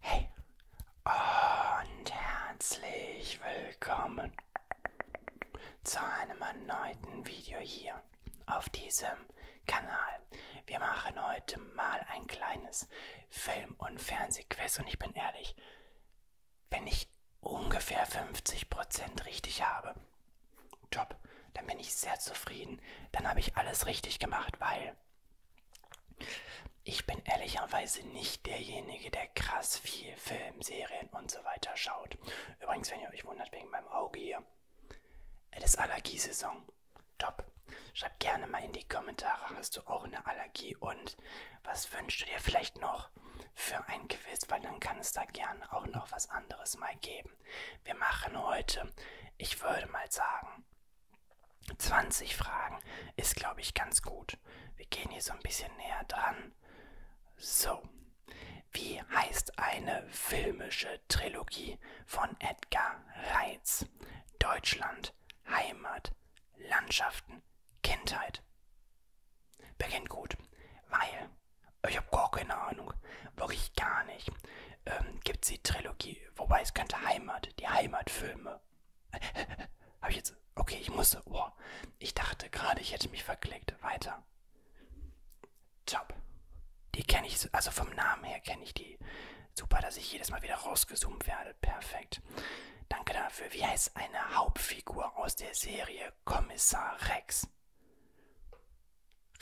Hey und herzlich willkommen zu einem erneuten Video hier auf diesem Kanal. Wir machen heute mal ein kleines Film- und Fernsehquiz und ich bin ehrlich, wenn ich ungefähr 50% richtig habe, Job. Dann bin ich sehr zufrieden. Dann habe ich alles richtig gemacht, weil ich bin ehrlicherweise nicht derjenige, der krass viel Film, Serien und so weiter schaut. Übrigens, wenn ihr euch wundert wegen meinem Auge hier, es ist Allergiesaison. Top. Schreib gerne mal in die Kommentare, hast du auch eine Allergie und was wünschst du dir vielleicht noch für ein Quiz, weil dann kann es da gerne auch noch was anderes mal geben. Wir machen heute, ich würde mal sagen, 20 Fragen ist, glaube ich, ganz gut. Wir gehen hier so ein bisschen näher dran. So, wie heißt eine filmische Trilogie von Edgar Reitz? Deutschland, Heimat, Landschaften, Kindheit. Beginnt gut, weil ich habe gar keine Ahnung. Wirklich gar nicht. Ähm, Gibt es die Trilogie? Wobei es könnte Heimat, die Heimatfilme. habe ich jetzt. Okay, ich musste. Oh, ich dachte gerade, ich hätte mich verklickt. Weiter. Top. Die kenne ich, also vom Namen her kenne ich die. Super, dass ich jedes Mal wieder rausgezoomt werde. Perfekt. Danke dafür. Wie heißt eine Hauptfigur aus der Serie Kommissar Rex?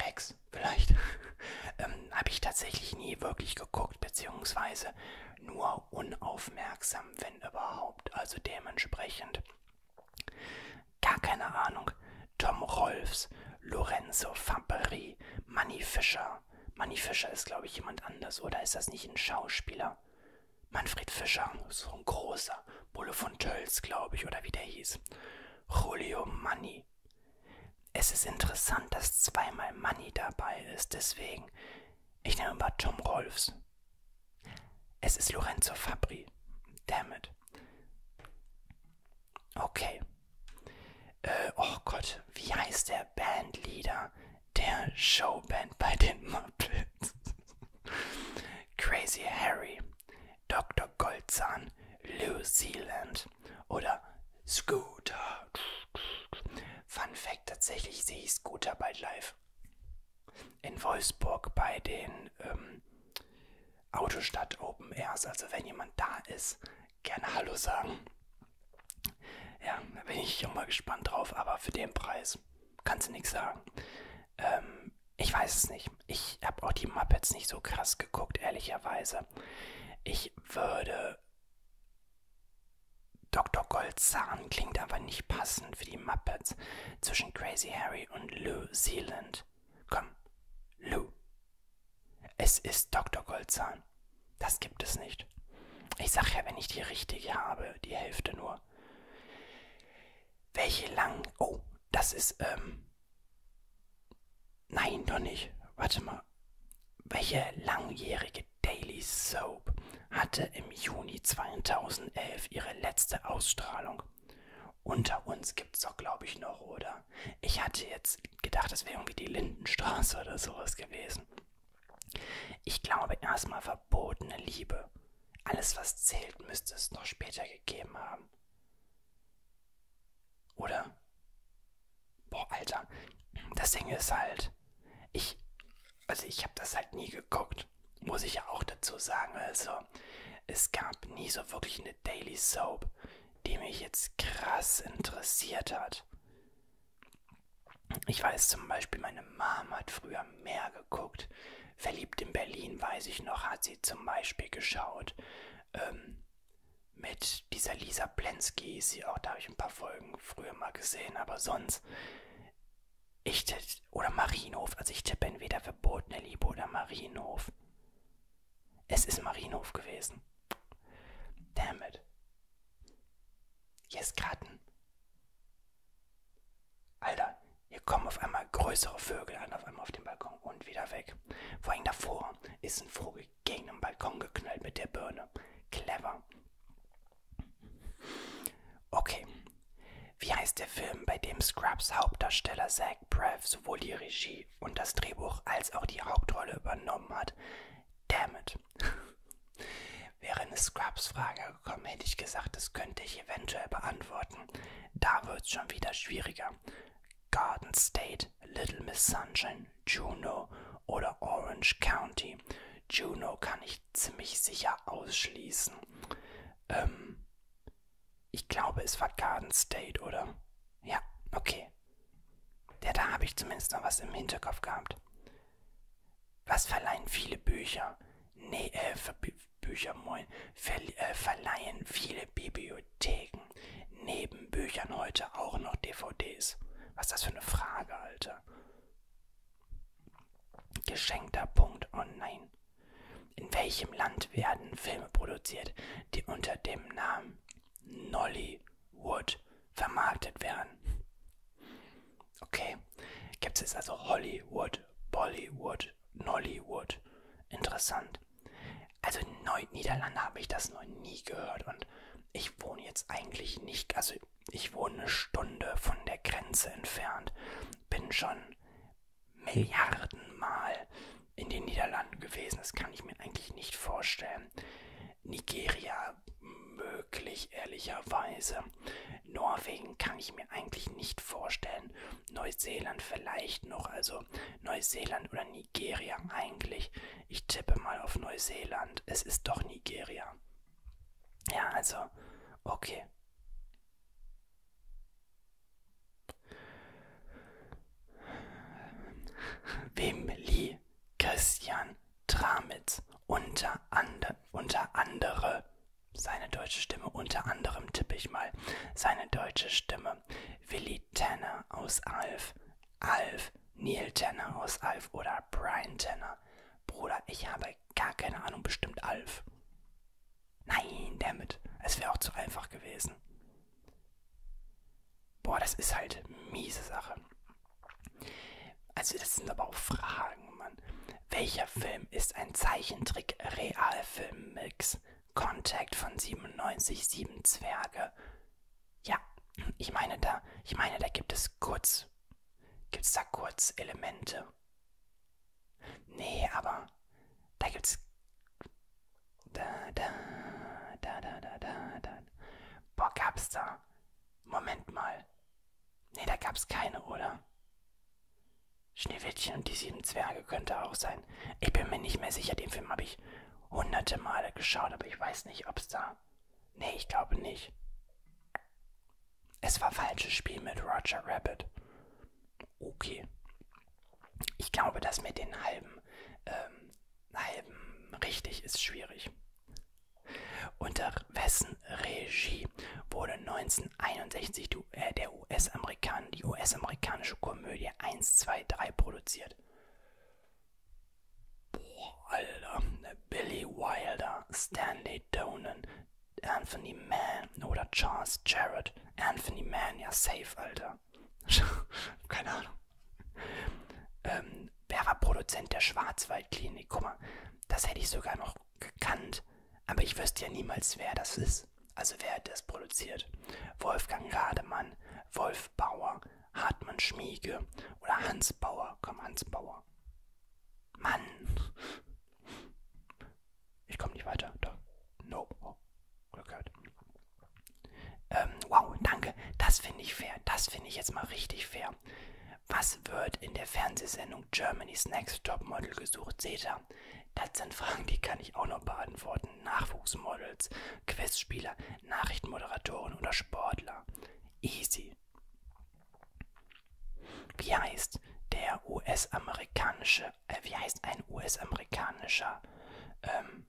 Rex, vielleicht, ähm, habe ich tatsächlich nie wirklich geguckt, beziehungsweise nur unaufmerksam, wenn überhaupt. Also dementsprechend gar keine Ahnung. Tom Rolfs, Lorenzo Fabri, Manny Fischer. Manny Fischer ist, glaube ich, jemand anders, oder ist das nicht ein Schauspieler? Manfred Fischer, so ein großer, Bulle von Tölz, glaube ich, oder wie der hieß. Julio Manni. Es ist interessant, dass zweimal Manni dabei ist, deswegen. Ich nehme mal Tom Rolfs. Es ist Lorenzo Fabri. Damn it. Okay. Äh, oh Gott, wie heißt der Bandleader der Showband bei den Muppets? Crazy Harry. Dr. Goldzahn, Lou Zealand oder Scooter. Fun Fact: Tatsächlich sehe ich Scooter bald live. In Wolfsburg bei den ähm, Autostadt Open Airs. Also, wenn jemand da ist, gerne Hallo sagen. Ja, da bin ich immer gespannt drauf, aber für den Preis kannst du nichts sagen. Ähm, ich weiß es nicht. Ich habe auch die Muppets nicht so krass geguckt, ehrlicherweise. Ich würde. Dr. Goldzahn klingt aber nicht passend für die Muppets. Zwischen Crazy Harry und Lou Zealand. Komm, Lou. Es ist Dr. Goldzahn. Das gibt es nicht. Ich sag ja, wenn ich die richtige habe, die Hälfte nur. Welche lang. Oh, das ist, ähm. Nein, doch nicht. Warte mal. Welche langjährige Daily Soap hatte im Juni 2011 ihre letzte Ausstrahlung? Unter uns gibt's doch, glaube ich, noch, oder? Ich hatte jetzt gedacht, es wäre irgendwie die Lindenstraße oder sowas gewesen. Ich glaube erstmal verbotene Liebe. Alles, was zählt, müsste es noch später gegeben haben haben. Oder? Boah, Alter. Das Ding ist halt, ich, also ich habe das halt nie geguckt, muss ich ja auch dazu sagen. Also, es gab nie so wirklich eine Daily Soap, die mich jetzt krass interessiert hat. Ich weiß zum Beispiel, meine Mom hat früher mehr geguckt. Verliebt in Berlin, weiß ich noch, hat sie sie zum Beispiel geschaut. Ähm, mit dieser Lisa Plensky ist sie auch, da habe ich ein paar Folgen früher mal gesehen, aber sonst. Ich tipp, oder Marienhof, also ich tippe entweder verbotene Liebe oder Marienhof. Es ist Marienhof gewesen. Damn it. Hier ist gerade ein Alter, hier kommen auf einmal größere Vögel an, auf einmal auf den Balkon und wieder weg. Vor allem davor ist ein Vogel gegen den Balkon geknallt mit der Birne. Clever. Okay. Wie heißt der Film, bei dem Scrubs Hauptdarsteller Zach Braff sowohl die Regie und das Drehbuch als auch die Hauptrolle übernommen hat? Damn it. Wäre eine Scrubs-Frage gekommen, hätte ich gesagt, das könnte ich eventuell beantworten Leuten. Da wird's schon wieder schwieriger. Garden State, Little Miss Sunshine, Juno oder Orange County. Juno kann ich ziemlich sicher ausschließen. Ähm, ich glaube, es war Garden State, oder? Ja, okay. Ja, da habe ich zumindest noch was im Hinterkopf gehabt. Was verleihen viele Bücher? Nee, äh, für, Büchermoin ver äh, verleihen viele Bibliotheken neben Büchern heute auch noch DVDs. Was ist das für eine Frage, Alter? Geschenkter Punkt online. In welchem Land werden Filme produziert, die unter dem Namen Nollywood vermarktet werden? Okay. Gibt es also Hollywood, Bollywood, Nollywood? Interessant. Also in Neu Niederlande habe ich das noch nie gehört und ich wohne jetzt eigentlich nicht, also ich wohne eine Stunde von der Grenze entfernt, bin schon Milliardenmal in den Niederlanden gewesen, das kann ich mir eigentlich nicht vorstellen. Nigeria möglich, ehrlicherweise. Norwegen kann ich mir eigentlich nicht vorstellen. Neuseeland vielleicht noch, also Neuseeland oder Nigeria eigentlich. Ich tippe mal auf Neuseeland. Es ist doch Nigeria. Ja, also, okay. Wem Lee, Christian Tramitz, unter, ande, unter andere seine deutsche Stimme, unter anderem tippe ich mal, seine deutsche Stimme, Willy Tanner aus Alf, Alf, Neil Tanner aus Alf oder Brian Tanner. Bruder, ich habe gar keine Ahnung, bestimmt Alf. Nein, damit. Es wäre auch zu einfach gewesen. Boah, das ist halt miese Sache. Also das sind aber auch Fragen, Mann. Welcher Film ist ein Zeichentrick-Realfilm-Mix? Contact von 97, sieben Zwerge. Ja, ich meine da, ich meine, da gibt es kurz, gibt es da kurz Elemente. Nee, aber da gibt's da da da da da da da. Boah, gab's da. Moment mal. Nee, da gab's keine, oder? Schneewittchen und die sieben Zwerge könnte auch sein. Ich bin mir nicht mehr sicher, den Film habe ich hunderte Male geschaut, aber ich weiß nicht, ob's da. Nee, ich glaube nicht. Es war falsches Spiel mit Roger Rabbit. Okay. Ich glaube, das mit den halben, ähm, halben richtig ist schwierig. Unter wessen Regie wurde 1961 die, äh, der US -Amerikan die US-amerikanische Komödie 123 produziert? Boah, Alter. Äh, Billy Wilder, Stanley Donen, Anthony Mann oder Charles Jarrett. Anthony Mann, ja safe, Alter. Keine Ahnung. Ähm, wer war Produzent der Schwarzwaldklinik? Guck mal, das hätte ich sogar noch gekannt, aber ich wüsste ja niemals, wer das ist. Also wer hat das produziert? Wolfgang Rademann, Wolf Bauer, Hartmann Schmiege oder Hans Bauer. Komm, Hans Bauer. Mann! Ich komme nicht weiter. Doch. No. Oh. Glück gehabt. Ähm, wow, danke. Das finde ich fair. Das finde ich jetzt mal richtig fair. Seter. Was wird in der Fernsehsendung Germany's Next Topmodel gesucht? Seter. Das sind Fragen, die kann ich auch noch beantworten. Nachwuchsmodels, Quizspieler, Nachrichtenmoderatoren oder Sportler. Easy. Wie heißt der US-amerikanische, äh, wie heißt ein US-amerikanischer ähm,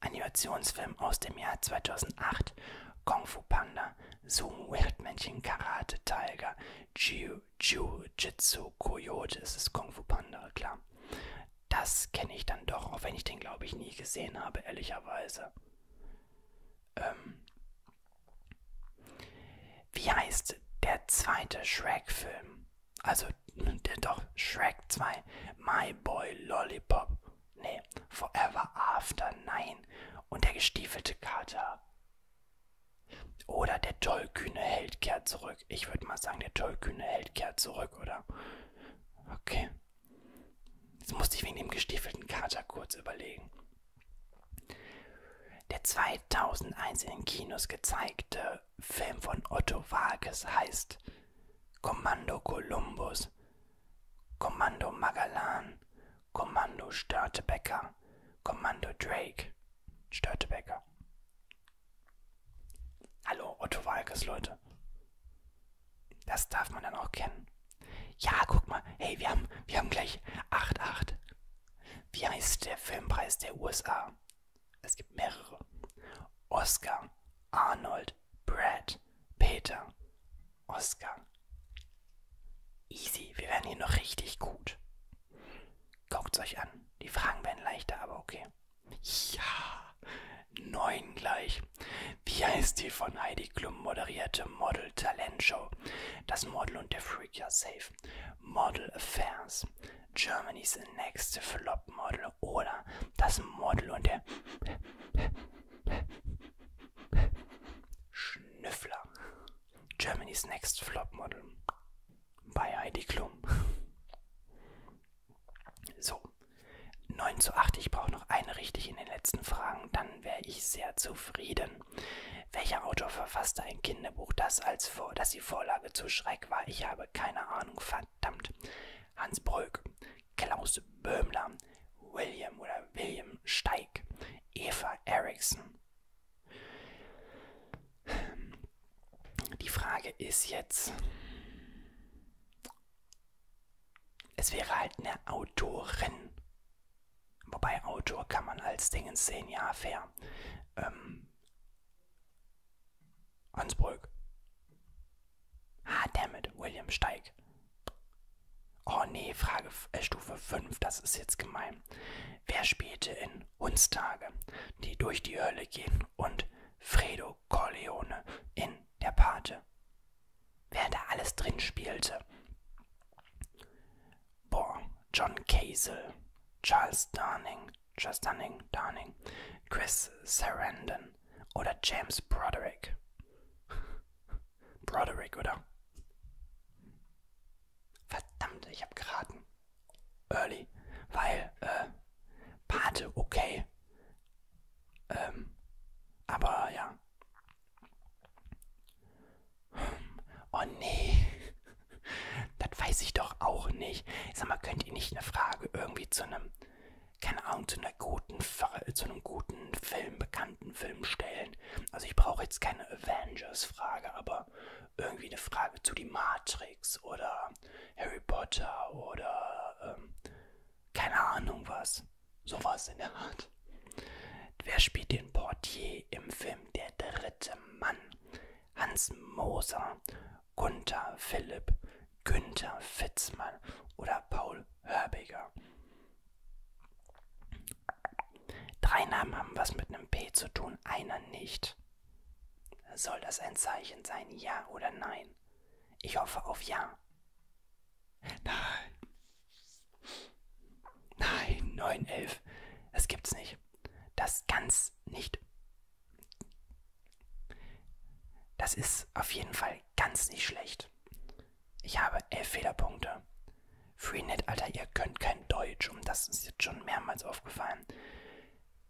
Animationsfilm aus dem Jahr 2008? Kung Fu Panda. Killer, Sumo, Erdmännchen, Karate, Tiger, Jiu, Jiu, Jitsu, Coyote, es ist Kung Fu Panda, klar. Das kenne ich dann doch, auch wenn ich den, glaube ich, nie gesehen habe, ehrlicherweise. Ähm Wie heißt der zweite Shrek-Film? Also, der doch, Shrek 2, My Boy Lollipop. Nee, Forever After, nein. Und der gestiefelte Kater. Oder der tollkühne Held kehrt zurück. Ich würde mal sagen, der tollkühne Held kehrt zurück, oder? Okay. Jetzt musste ich wegen dem gestiefelten Kater kurz überlegen. Der 2001 in Kinos gezeigte Film von Otto Walkes heißt Kommando Columbus. Kommando Magellan, Kommando Störtebecker, Kommando Drake, Störtebecker. Hallo, Otto Walkes, Leute. Das darf man dann auch kennen. Ja, guck mal, hey, wir haben, wir haben gleich 8-8. Wie heißt der Filmpreis der USA? Es gibt mehrere. Oscar, Arnold, Brad, Peter, Oscar. Easy, wir werden hier noch richtig gut. Guckt's euch an. Die Fragen werden leichter, aber okay. Ja, neun gleich. Wie heißt die von Heidi Klum moderierte Model Talent Show? Das Model und der Freak ja safe. Model Affairs. Germany's Next Flop Model oder das Model und der Schnüffler. Germany's Next Flop Model. Bei Heidi Klum. So. 9 zu 8. Ich brauche noch eine richtig in den letzten Fragen. Dann wäre ich sehr zufrieden. Welcher Autor verfasste ein Kinderbuch, das, als vor, das die Vorlage zu Schreck war? Ich habe keine Ahnung. Verdammt. Hans Brück, Klaus Böhmler, William oder William Steig, Eva Eriksson. Die Frage ist jetzt, es wäre halt eine Autorin. Wobei Autor kann man als Dingens sehen, ja, fair. Ähm, Hansburg. Ah, dammit, William, steig. Oh nee, Frage äh, Stufe 5, das ist jetzt gemein. Wer spielte in Hundstage, die durch die Hölle gehen, und Fredo Corleone in Der Pate? Wer da alles drin spielte? Boah, John Casel, Charles Darning, Charles Dunning, Darning, Chris Sarandon, Jordan oder James Broderick. Broderick, oder? Verdammt, ich hab geraten. Early, weil, äh, Pate, okay. Ähm, aber ja. Oh nee. Das weiß ich doch auch nicht. Ich sag mal, könnt ihr nicht eine Frage irgendwie zu einem keine Ahnung, zu, einer guten, zu einem guten Film, bekannten Film stellen. Also ich brauche jetzt keine Avengers-Frage, aber irgendwie eine Frage zu die Matrix oder Harry Potter oder ähm, keine Ahnung was. Sowas in der Art. Wer spielt den Portier im Film Der dritte Mann? Hans Moser Gunther Philipp, Günther Fitzmann oder Paul Hörbiger. Drei Namen haben was mit einem P zu tun, einer nicht. Soll das ein Zeichen sein, ja oder nein? Ich hoffe auf ja. Nein. Nein, 9, 11. Das gibt's nicht. Das kann's nicht. Das ist auf jeden Fall ganz nicht schlecht. Ich habe elf Fehlerpunkte. Freenet, Alter, ihr könnt kein Deutsch, um das ist jetzt schon mehrmals aufgefallen.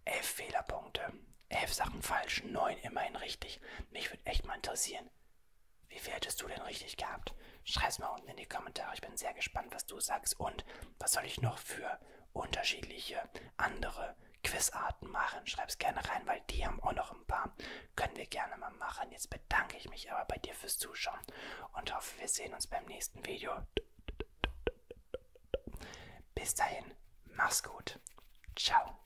Elf Fehlerpunkte, elf Sachen falsch, neun immerhin richtig. Mich würde echt mal interessieren, wie viel hättest du denn richtig gehabt? Schreib's mal unten in die Kommentare. Ich bin sehr gespannt, was du sagst und was soll ich noch für unterschiedliche andere Quizarten machen. Schreib's gerne rein, weil die haben auch noch ein paar. Können wir gerne mal machen. Jetzt bedanke ich mich aber bei dir fürs Zuschauen und hoffe, wir sehen uns beim nächsten Video. Bis dahin, mach's gut. Ciao.